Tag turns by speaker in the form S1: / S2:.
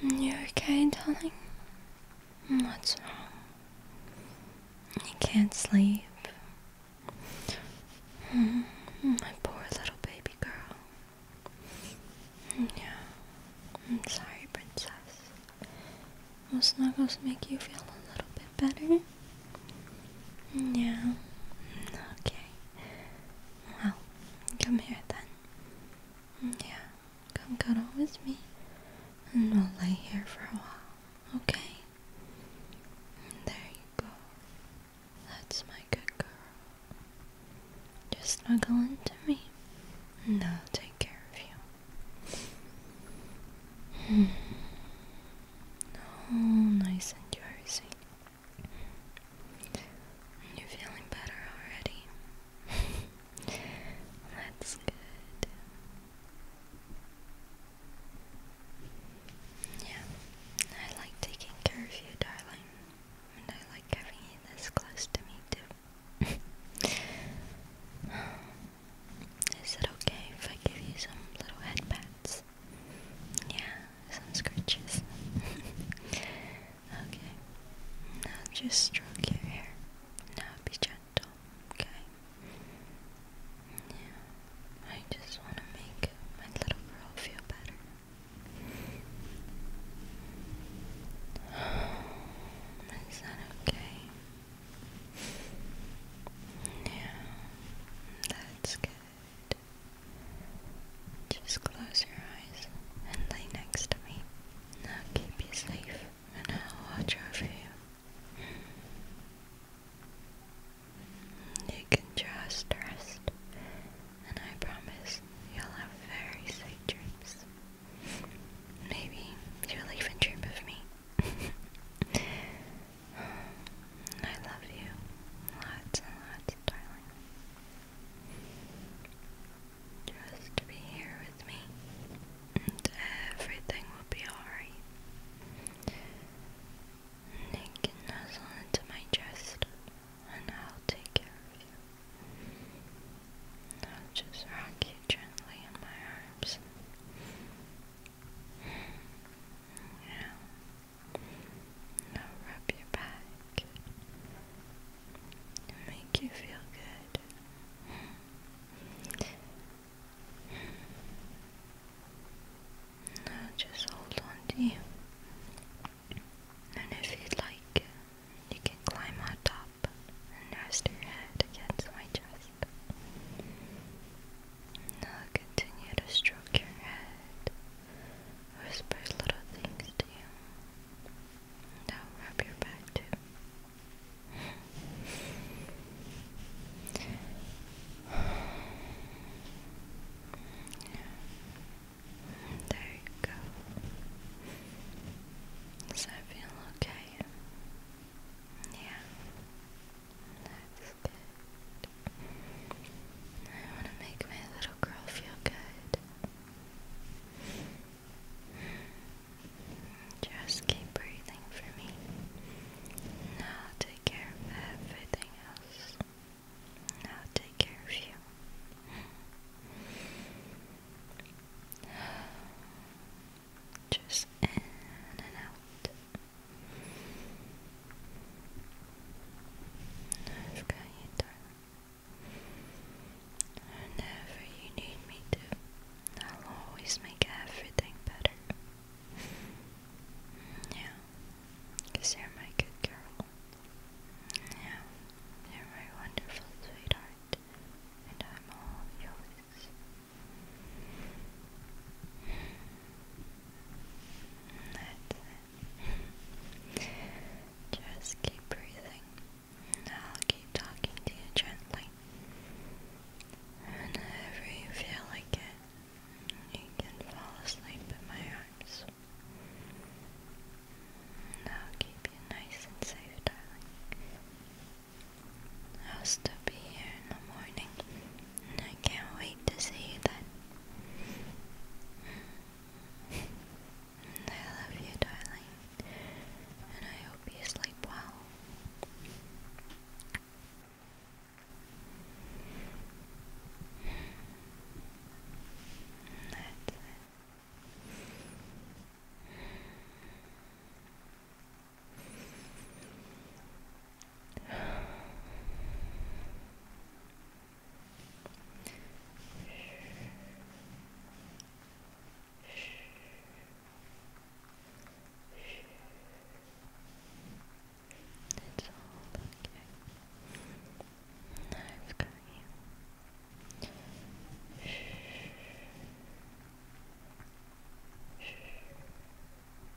S1: Mm-hmm. You okay, darling? What's wrong? You can't sleep. Mm-hmm. My poor little baby girl. Yeah. I'm sorry, princess. Will snuggles make you feel a little bit better? Yeah. Okay. Well, come here then. Yeah. Come cuddle with me. And we'll lay here for a while. Okay? there you go. That's my good girl. Just snuggle into me. No, take care of you. Hmm. Oh, nice and juicy. You feeling better already? That's good. Yeah, I like taking care of you, darling. And I like having you this close to me, too. Is it okay if I give you some little head yeah, some scratches. okay. Now just stroke your hair. Now be gentle. Okay. Yeah. I just wanna make my little girl feel better. Is that okay? Yeah, that's good. Just close your eyes and lay next to me. I'll keep you safe and I'll watch over you. You can just rest, and I promise you'll have very sweet dreams. Maybe you'll even dream of me. I love you lots and lots, darling. Just be here with me, and everything will be alright. You can nuzzle into my chest, and I'll take care of you. I'll just rock you gently in my arms. Yeah, now rub your back. Make you feel good. Now just hold on to you. And if you'd like, you can climb on top and rest your head against my chest. I'll continue to stroke your head, whisper little things to you. Now rub your back too. There you go. Does that feel okay? Yeah. I want to make my little girl feel good. Just keep breathing for me. I'll take care of everything else. I'll take care of you. Just in and out. Whenever you need me to, I'll always make everything better. Yeah, you're my good girl. Yeah, you're my wonderful sweetheart, and I'm all yours. That's Just keep breathing. I'll keep talking to you gently. Whenever you feel like it, you can fall asleep in my arms. I'll keep you nice and safe, darling. I'll still be here in the morning I can't wait to see you then. I love you, darling, and I hope you sleep well. That's it's all okay. I've got you.